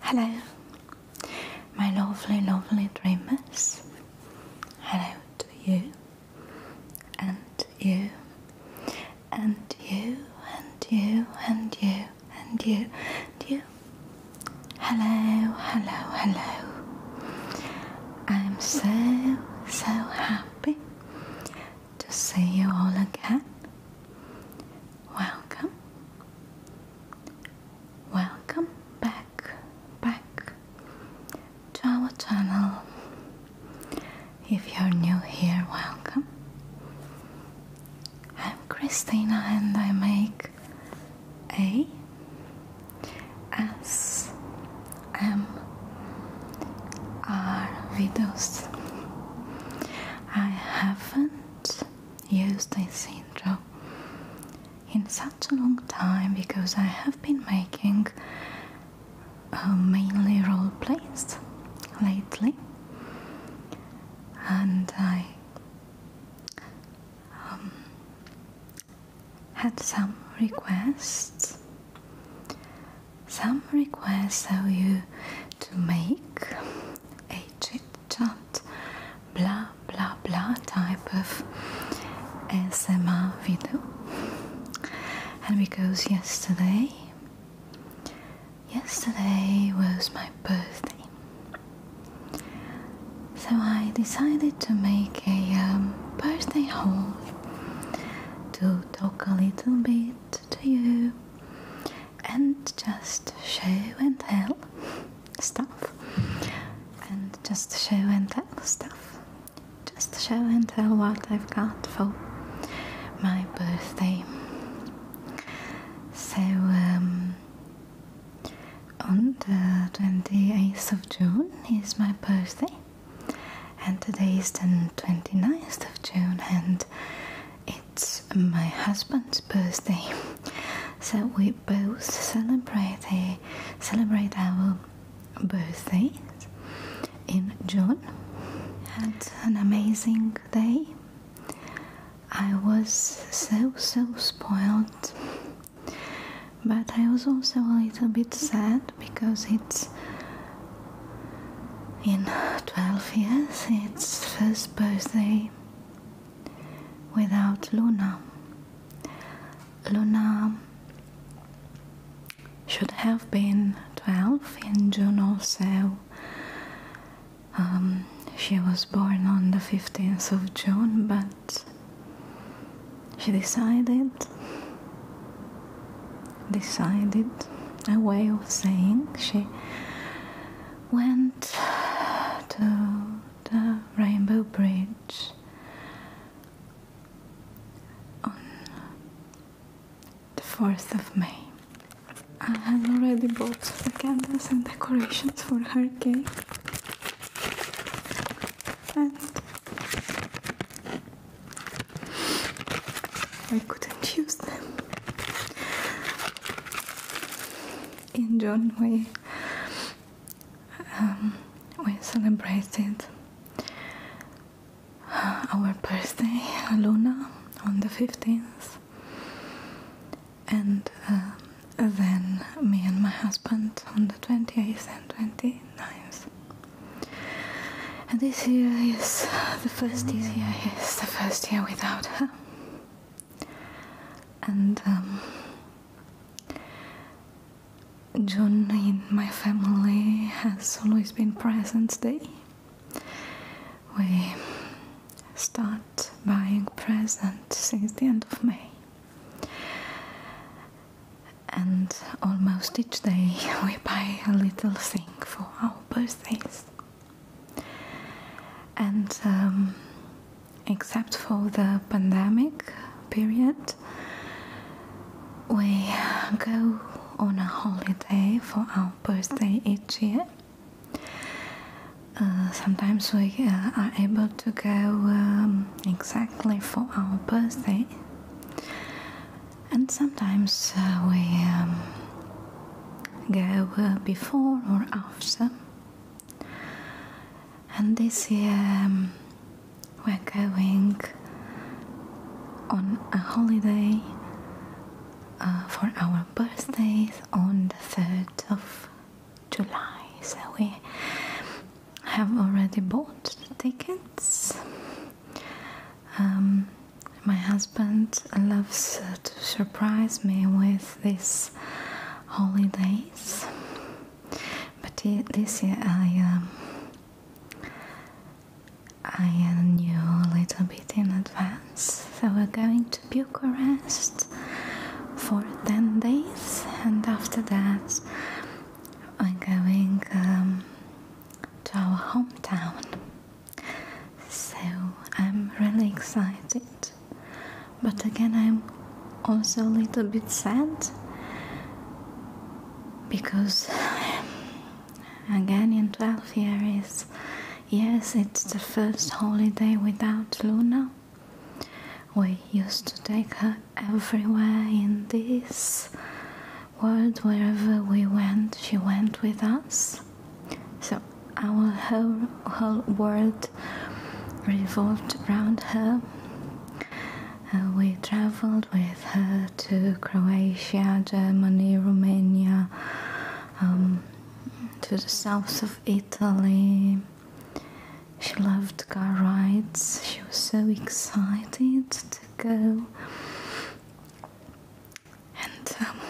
Hello, my lovely, lovely dreamers. Hello to you and you and you, and you, and you, and you, and you. Hello, hello, hello. I'm so, so happy to see you all again. Welcome. Welcome back, back to our channel. If you're new here, welcome. I'm Christina and I make A S M R videos. I haven't used a intro in such a long time because I have been making uh, mainly role plays lately and I um, had some requests. Some requests of you to make a chit chat, blah blah blah type of S M R video, and because yesterday Yesterday was my birthday, so I decided to make a um, birthday haul to talk a little bit to you and just show and tell stuff and just show and tell stuff just show and tell what I've got for my birthday so, um, on the 28th of June is my birthday, and today is the 29th of June, and it's my husband's birthday. So we both celebrate celebrate our birthday in June. Had an amazing day. I was so so spoiled, but I was also a little bit sad because it's in 12 years its first birthday without Luna. Luna should have been 12 in June also um, she was born on the 15th of June, but she decided, decided, a way of saying she went to the Rainbow Bridge on the 4th of May. I had already bought the candles and decorations for her cake. And I couldn't use them. In June, we um, we celebrated uh, our birthday, Luna, on the fifteenth, and um, then me and my husband on the 28th and 29th. And this year is the first year is the first year without her. And um, in my family has always been present day we start buying presents since the end of May. And almost each day we buy a little thing for our birthdays. And um, except for the pandemic period, we go on a holiday for our birthday each year uh, sometimes we uh, are able to go um, exactly for our birthday, and sometimes uh, we um, go before or after. And this year um, we're going on a holiday for our birthdays on the 3rd of July. So we have already bought the tickets. Um, my husband loves to surprise me with these holidays, but this year I um, I knew a little bit in advance. So we're going to Bucharest for 10 days, and after that, I'm going um, to our hometown. So I'm really excited, but again, I'm also a little bit sad because again in 12 years yes it's the first holiday without luna we used to take her everywhere in this world, wherever we went, she went with us. So our whole, whole world revolved around her. Uh, we traveled with her to Croatia, Germany, Romania, um, to the south of Italy. Italy. She loved car rides. She was so excited to go. And um,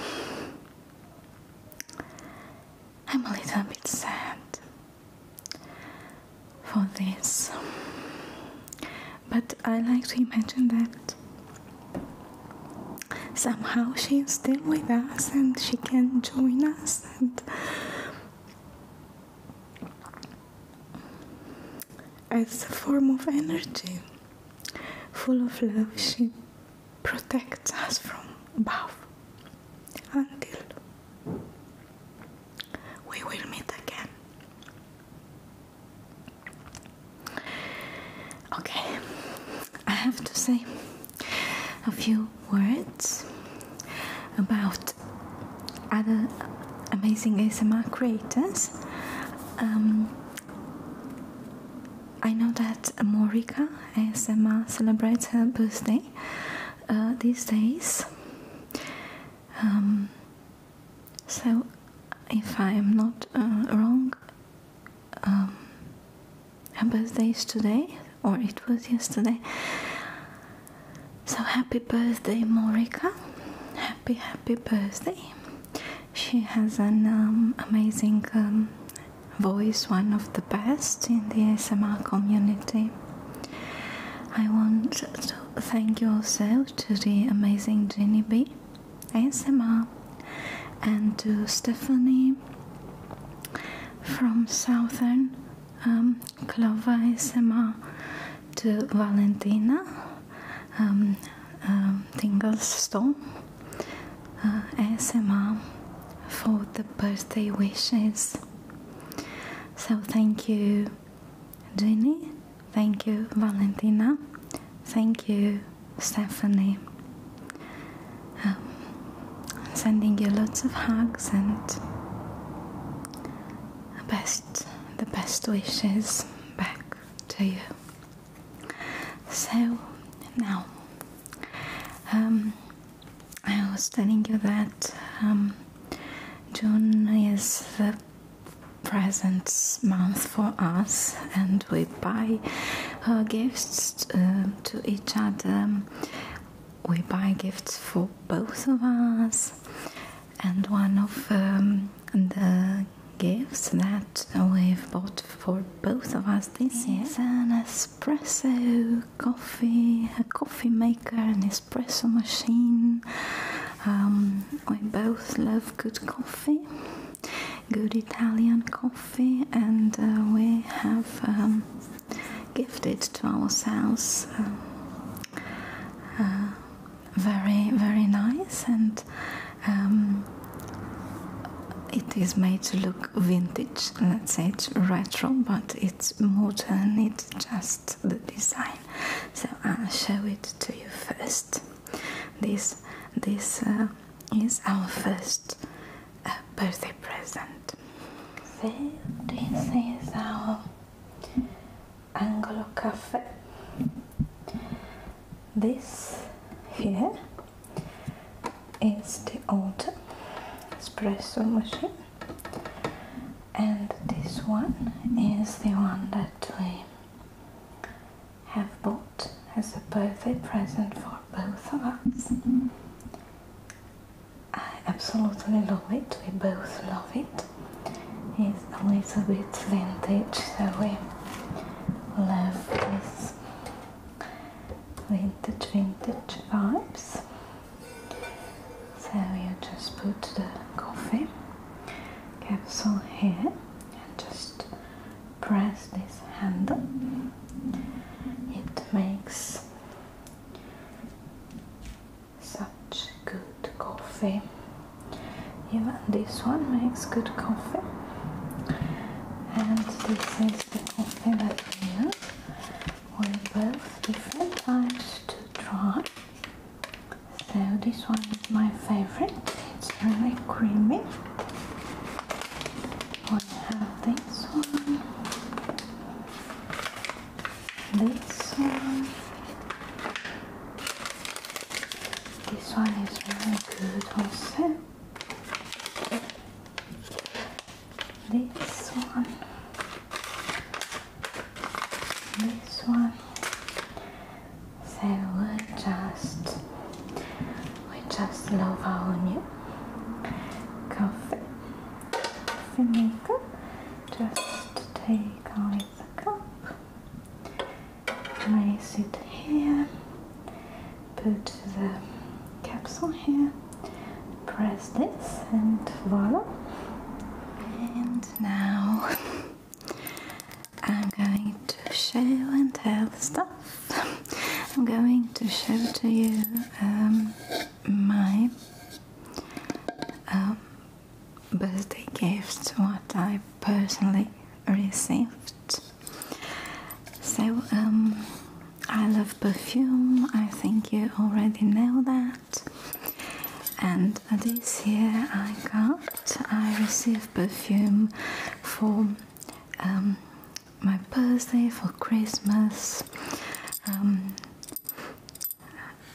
I'm a little bit sad for this, but I like to imagine that somehow she's still with us and she can join us and as a form of energy full of love she protects us from above until we will meet again okay i have to say a few words about other amazing ASMR creators. Um, I know that Morika ASMR celebrates her birthday uh, these days. Um, so, if I am not uh, wrong, um, her birthday is today, or it was yesterday. So happy birthday, Morika! Happy, happy birthday! She has an um, amazing um, voice, one of the best in the ASMR community. I want to thank you also to the amazing Jenny B, ASMR, and to Stephanie from southern um, Clova SMA to Valentina um, um, Tinglestone uh, for the birthday wishes. So thank you, Jenny. Thank you, Valentina. Thank you, Stephanie. I'm um, sending you lots of hugs and best the best wishes back to you. So now um, I was telling you that um, June is the present month for us, and we buy uh, gifts uh, to each other we buy gifts for both of us, and one of um, the gifts that we've bought for both of us this year is an espresso coffee, a coffee maker, an espresso machine. Um, we both love good coffee, good Italian coffee and uh, we have um, gifted to ourselves um, uh, very very nice and um, it is made to look vintage let's say it's retro but it's modern it's just the design so i'll show it to you first this this uh, is our first a birthday present. this is our Angolo Cafe. This here is the old espresso machine and this one is the one that we have bought as a birthday present for both of us I absolutely love it, we both love it. It's a little bit vintage, so we love this vintage, vintage vibes. So you just put the coffee capsule here and just press this handle. It makes such good coffee. Even this one makes good coffee. And this is the coffee that we with both different types to try. So this one is my favorite. It's really creamy. We have this one. This one. This one is very good also. This one. This one. So we just we just love our new coffee. Finish vinegar just take out the cup place it here put the capsule here press this and voila and now I'm going to show and tell stuff I'm going to show to you um, my um, birthday gift, what I personally received. So um, I love perfume. I think you already know that. And this year I got I received perfume for um, my birthday for Christmas um,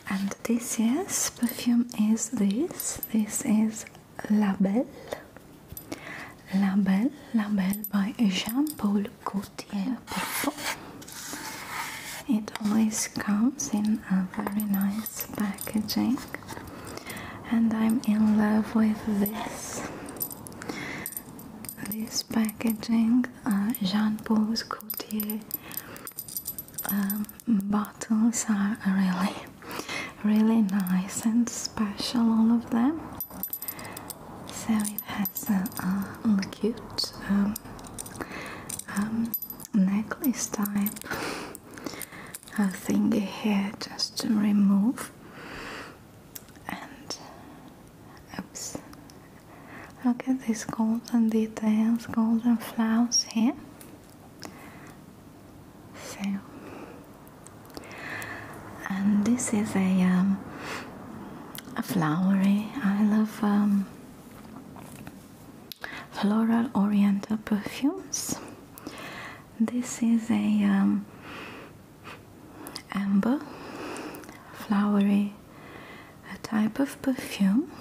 and this yes perfume is this. This is La Belle. La Belle, La Belle by Jean-Paul Gaultier It always comes in a very nice packaging and I'm in love with this this packaging uh, Jean Paul's Gaultier um, bottles are really really nice and special all of them so it has a, cute um, um, necklace type a thingy here just to remove and oops Look at these golden details, golden flowers here. So, and this is a, um, a flowery. I love um, floral oriental perfumes. This is a um, amber flowery a type of perfume.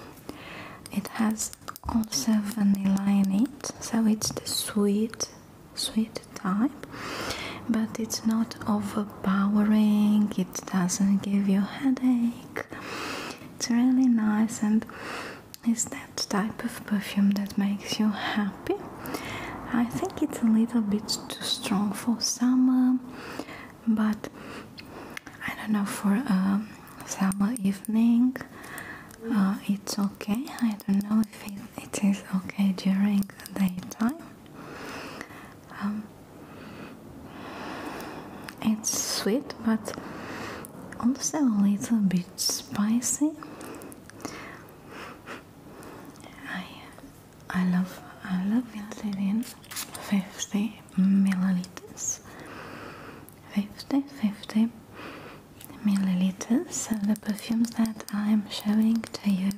It has also vanilla in it, so it's the sweet, sweet type, but it's not overpowering, it doesn't give you headache. It's really nice and is that type of perfume that makes you happy. I think it's a little bit too strong for summer but I don't know for a summer evening uh, it's okay I don't know if it is okay during the daytime um, it's sweet but also a little bit spicy I love I love insulin 50 milliliters 50 50 milliliters of the perfumes that I'm showing to you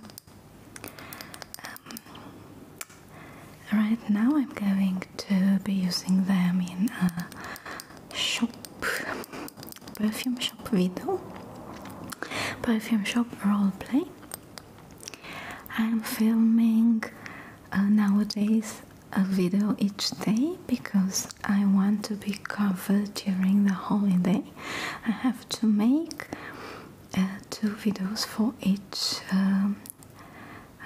um, right now I'm going to be using them in a shop perfume shop video perfume shop role play. I'm filming uh, nowadays a video each day because I want to be covered during the holiday. I have to make uh, two videos for each um,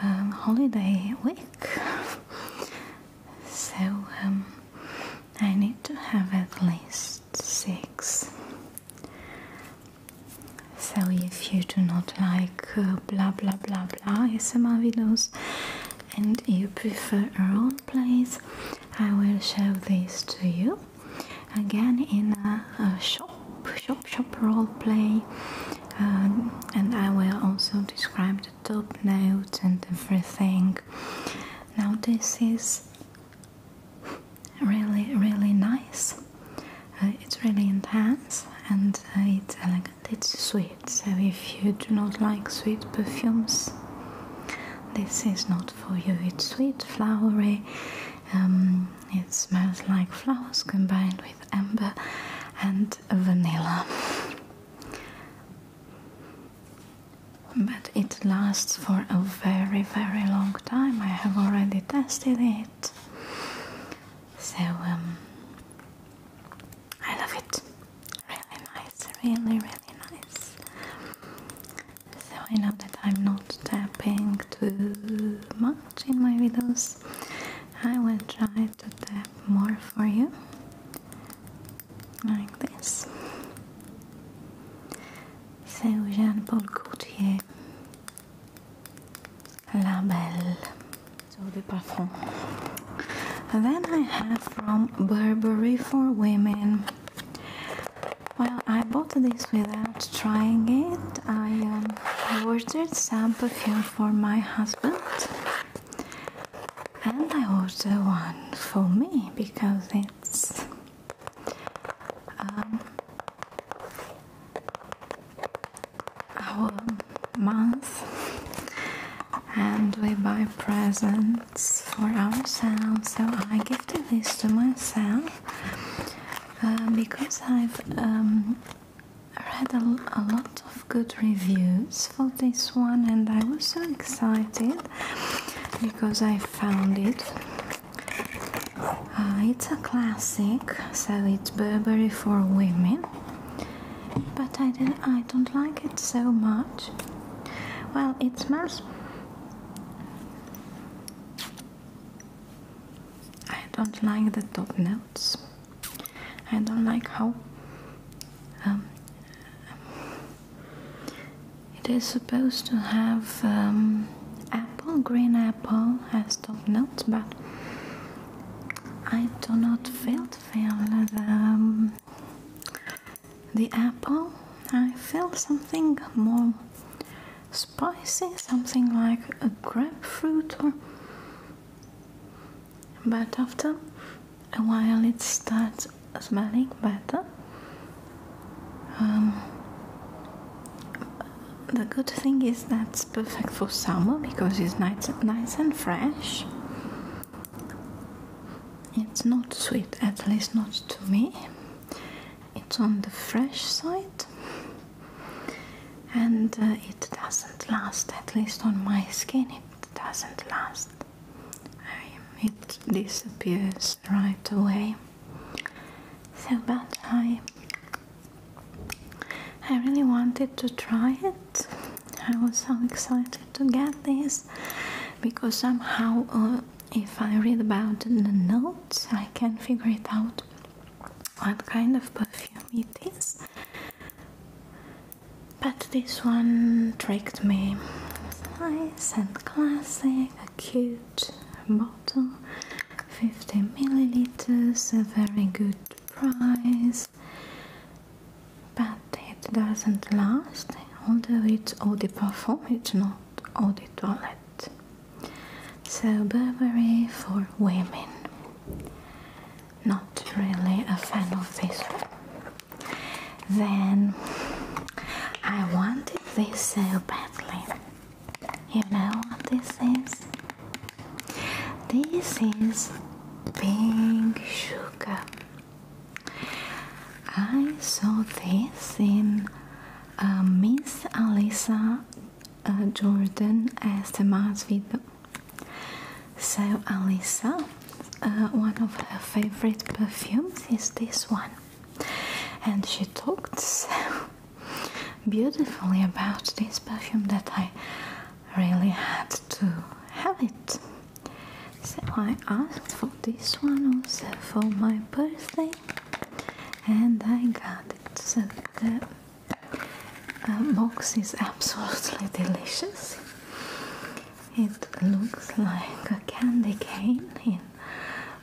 um, holiday week. so um, I need to have at least six so, if you do not like uh, blah blah blah blah ASMR videos and you prefer your own place, I will show this to you again in a, shop, shop, shop role play, um, and I will also describe the top notes and everything. Now, this is really really nice uh, it's really intense and uh, it's elegant it's sweet so if you do not like sweet perfumes this is not for you it's sweet flowery um, it smells like flowers combined with amber and vanilla but it lasts for a very very long time I have already tested it so um, I love it. Really nice, really, really nice. So I know that I'm not tapping too much in my videos. I will try to tap more for you, like this. So Jean Paul Gaultier Label, So the parfum. then I have from Burberry for Women. Well, I bought this without trying it. I, um, ordered some perfume for my husband. And I ordered one for me because it's um, our month and we buy presents for ourselves. So I gifted this to myself uh, because I've um, read a lot of good reviews for this one and I was so excited because I found it uh, it's a classic, so it's Burberry for women, but I don't, I don't like it so much. Well, it smells. I don't like the top notes. I don't like how um, it is supposed to have um, apple, green apple has top notes, but I do not feel the um, the apple. I feel something more spicy, something like a grapefruit, but after a while it starts smelling better. Um, the good thing is that it's perfect for summer because it's nice, nice and fresh. It's not sweet, at least not to me. It's on the fresh side and uh, it doesn't last, at least on my skin, it doesn't last. it disappears right away. So, bad I I really wanted to try it. I was so excited to get this because somehow, uh, if I read about the notes, I can figure it out what kind of perfume it is. But this one tricked me. It's nice and classic, a cute bottle, 50 milliliters, a very good price but it doesn't last although it's eau de parfum it's not eau de toilette so Burberry for women not really a fan of this then I wanted this so badly you know what this is? This is pink sugar. I saw this in uh, Miss Alisa uh, Jordan ASMR's video. So Alisa, uh, one of her favorite perfumes is this one, and she talked so beautifully about this perfume that I really had to have it. So I asked for this one also for my birthday and I got it. So the box is absolutely delicious. It looks like a candy cane in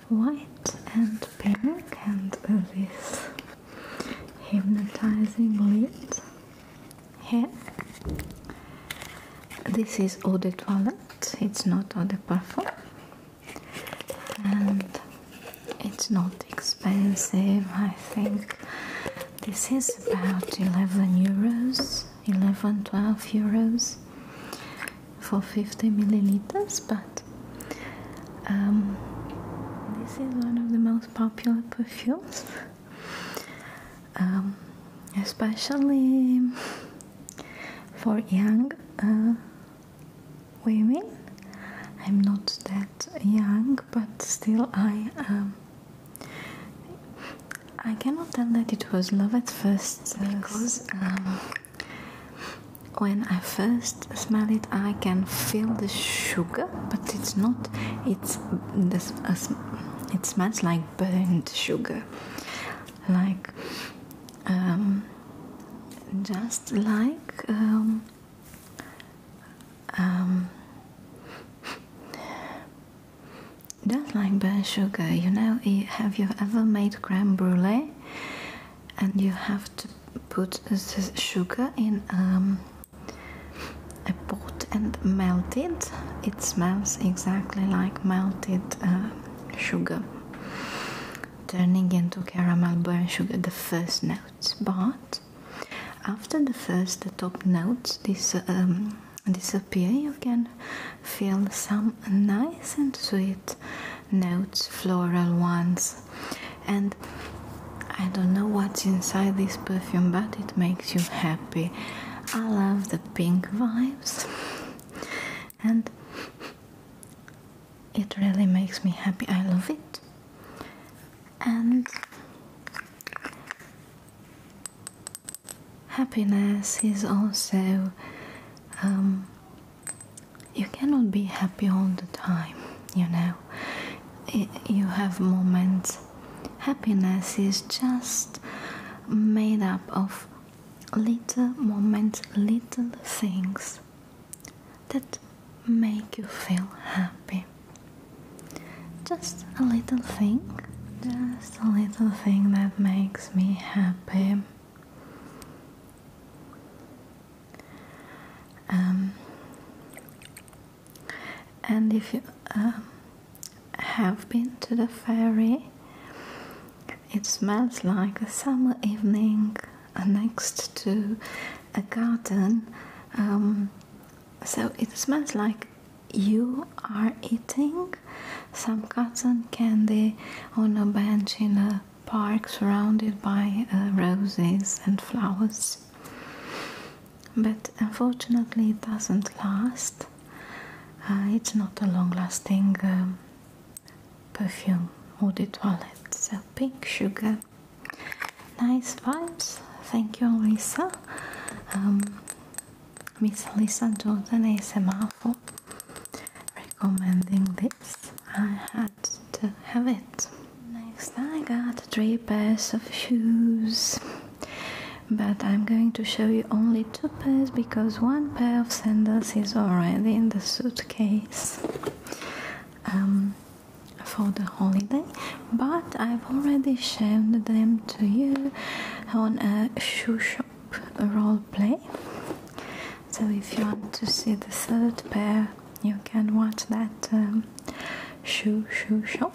white and pink and this hypnotizing lids hair this is eau de toilette it's not eau de parfum and it's not expensive i think this is about 11 euros 11 12 euros for 50 milliliters but um, this is one of the most popular perfumes, um, especially for young uh, women. I'm not that young, but still, I um, I cannot tell that it was love at first uh, because. Um, when I first smell it i can feel the sugar but it's not it's uh, it smells like burnt sugar like um, just like um, um, just like burnt sugar you know have you ever made creme brulee and you have to put the sugar in um, I put and melted. It smells exactly like melted uh, sugar, turning into caramel brown sugar, the first notes. But after the first, the top notes this um, disappear, you can feel some nice and sweet notes, floral ones, and I don't know what's inside this perfume but it makes you happy. I love the pink vibes and it really makes me happy. I love it. And happiness is also um, you cannot be happy all the time, you know you have moments. Happiness is just made up of little moments, little things that make you feel happy. Just a little thing, just a little thing that makes me happy. Um, and if you um, have been to the ferry, it smells like a summer evening uh, next to a garden. Um, so it smells like you are eating some cotton candy on a bench in a park surrounded by uh, roses and flowers. But unfortunately, it doesn't last. Uh, it's not a long lasting um, perfume or the toilet. So, pink sugar. Nice vibes. Thank you, Lisa. Um, Miss Lisa Jordan ASMR for recommending this. I had to have it. Next I got three pairs of shoes but I'm going to show you only two pairs because one pair of sandals is already in the suitcase um, for the holiday but I've already shown them to you on a shoe shop role play so if you want to see the third pair you can watch that um, shoe shoe shop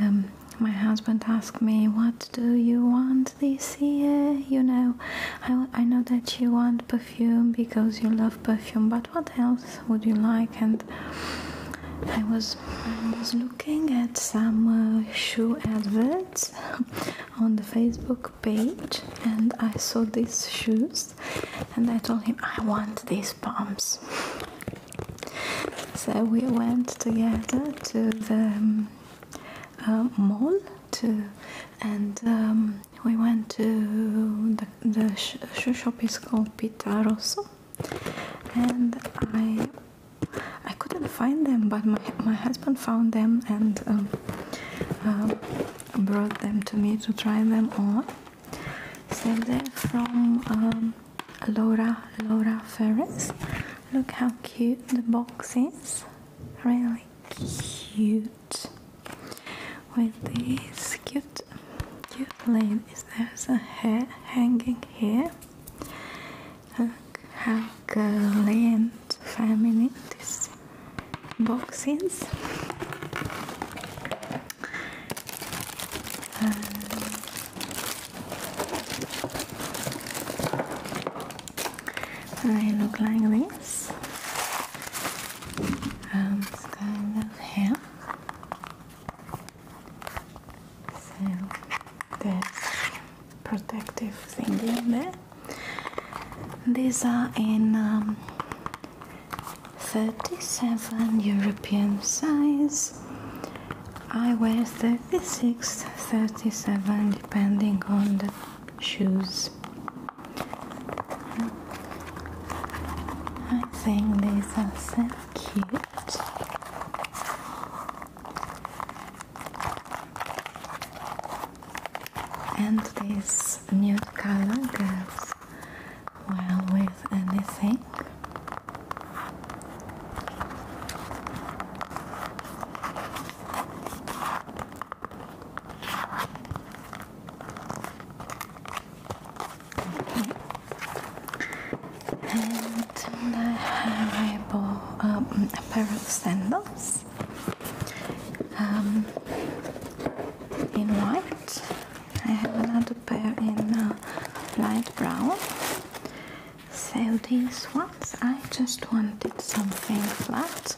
um, my husband asked me, What do you want this year? You know, I, know that you want perfume because you love perfume, but what else would you like? And I was, was looking at some uh, shoe adverts on the Facebook page and I saw these shoes and I told him I want these pumps so we went together to the um, uh, mall and um, we went to the, shoe shop is called Pita Rosso and I I couldn't find them but my, my husband found them and um, uh, brought them to me to try them on save that from um, Laura Laura Ferris look how cute the box is really cute with this cute cute Is there's a hair hanging here look how girly and feminine this box is and I look like this um, it's kind of so that's protective thingy there these are in um, 37 European size. I wear 36, 37 depending on the shoes. I think these are so cute. And these new color girls well with anything. And I have a, um, a pair of sandals um, in white. I have another pair in uh, light brown. So these ones, I just wanted something flat,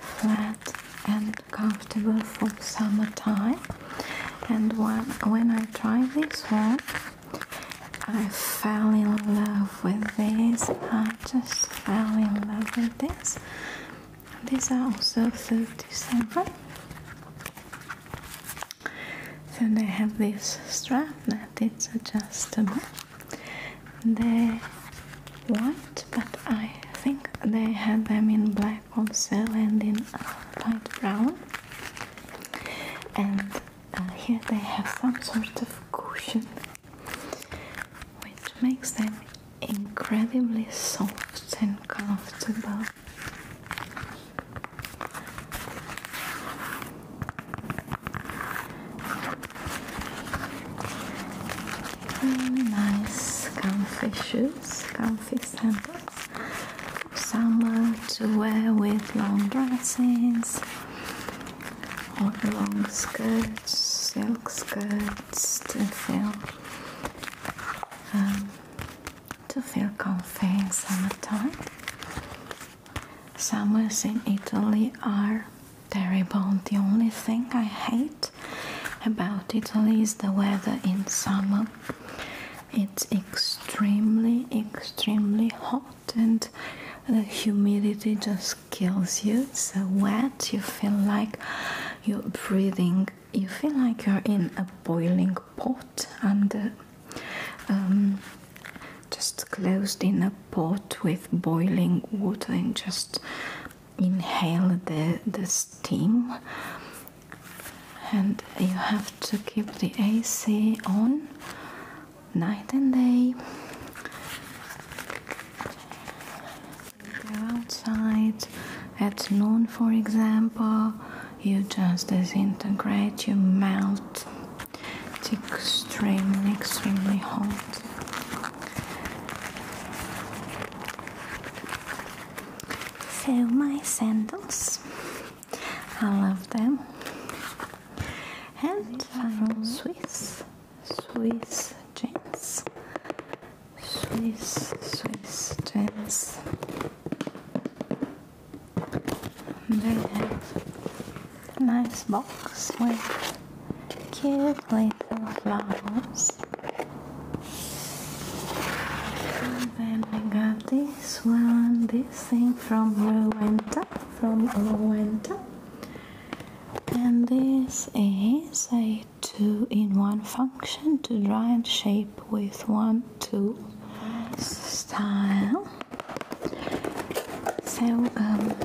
flat and comfortable for summertime. And when, when I tried these ones, I fell in love with this. I just fell in love with this. These are also 37. So they have this strap that it's adjustable. They're white, but I think they had them in black also and in uh, light brown. And uh, here they have some sort of cushion, which makes them incredibly soft and comfortable. Really nice comfy shoes, comfy sandals summer to wear with long dresses or long skirts, silk skirts to feel. Um, to feel comfy in summertime. Summers in Italy are terrible. The only thing I hate about Italy is the weather in summer. It's extremely, extremely hot, and the humidity just kills you. It's so wet, you feel like you're breathing you feel like you're in a boiling pot and um, just closed in a pot with boiling water and just inhale the, the steam and you have to keep the AC on night and day go outside at noon, for example, you just disintegrate, you melt. It's extremely, extremely hot. So, my sandals, I love them. And from Swiss, Swiss jeans, Swiss, Swiss jeans. And they have a nice box with cute little flowers. And then I got this one, this thing from Rowenta, from Rowenta. And this is a two-in-one function to dry and shape with one Two style. So um,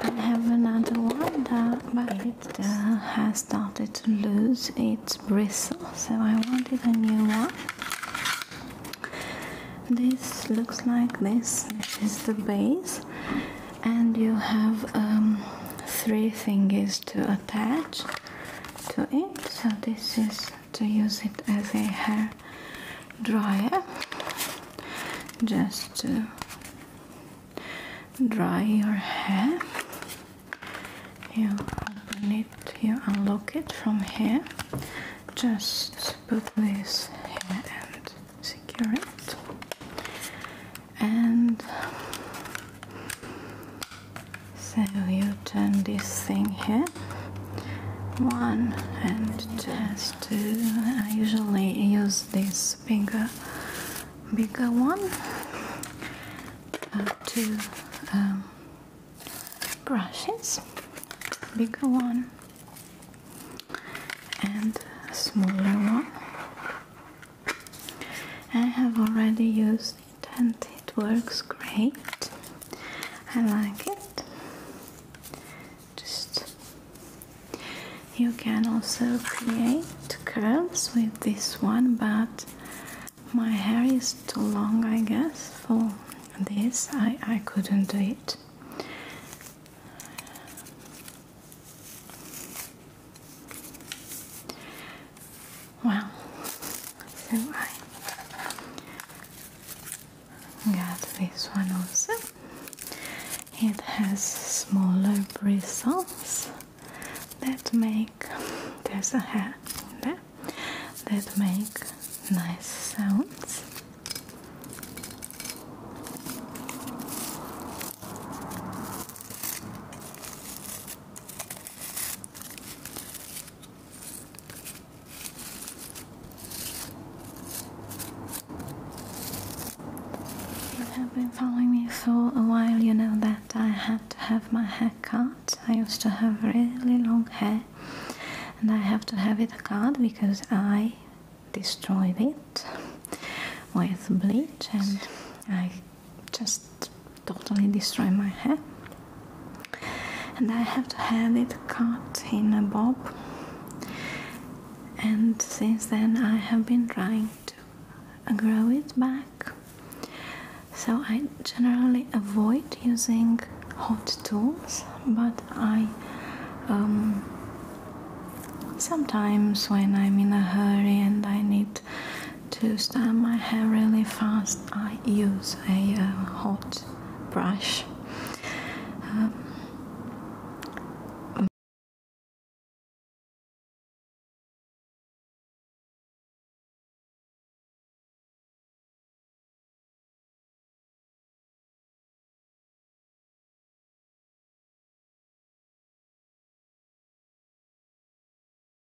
I have another one, but it has started to lose its bristle, so I wanted a new one. This looks like this. This is the base, and you have um, three fingers to attach to it. So this is to use it as a hair dryer just to dry your hair you open it you unlock it from here just put this here and secure it and so you turn this thing here one and just two I usually use this bigger bigger one uh, two um, brushes bigger one and smaller one I have already used and it works great. I like it. Just you can also create curls with this one, but my hair is too long, I guess, for this. I, I couldn't do it. Wow. So I got this one also. It has smaller bristles that make there's a hat in there that make nice sounds. You have been following me for a while, you know that I had to have my hair cut. I used to have really long hair and I have to have it cut because I destroyed it with bleach and I just totally destroy my hair and I have to have it cut in a bob and since then I have been trying to grow it back so I generally avoid using hot tools but I um, sometimes when I'm in a hurry and I need to style my hair really fast I use a uh, hot brush. Um,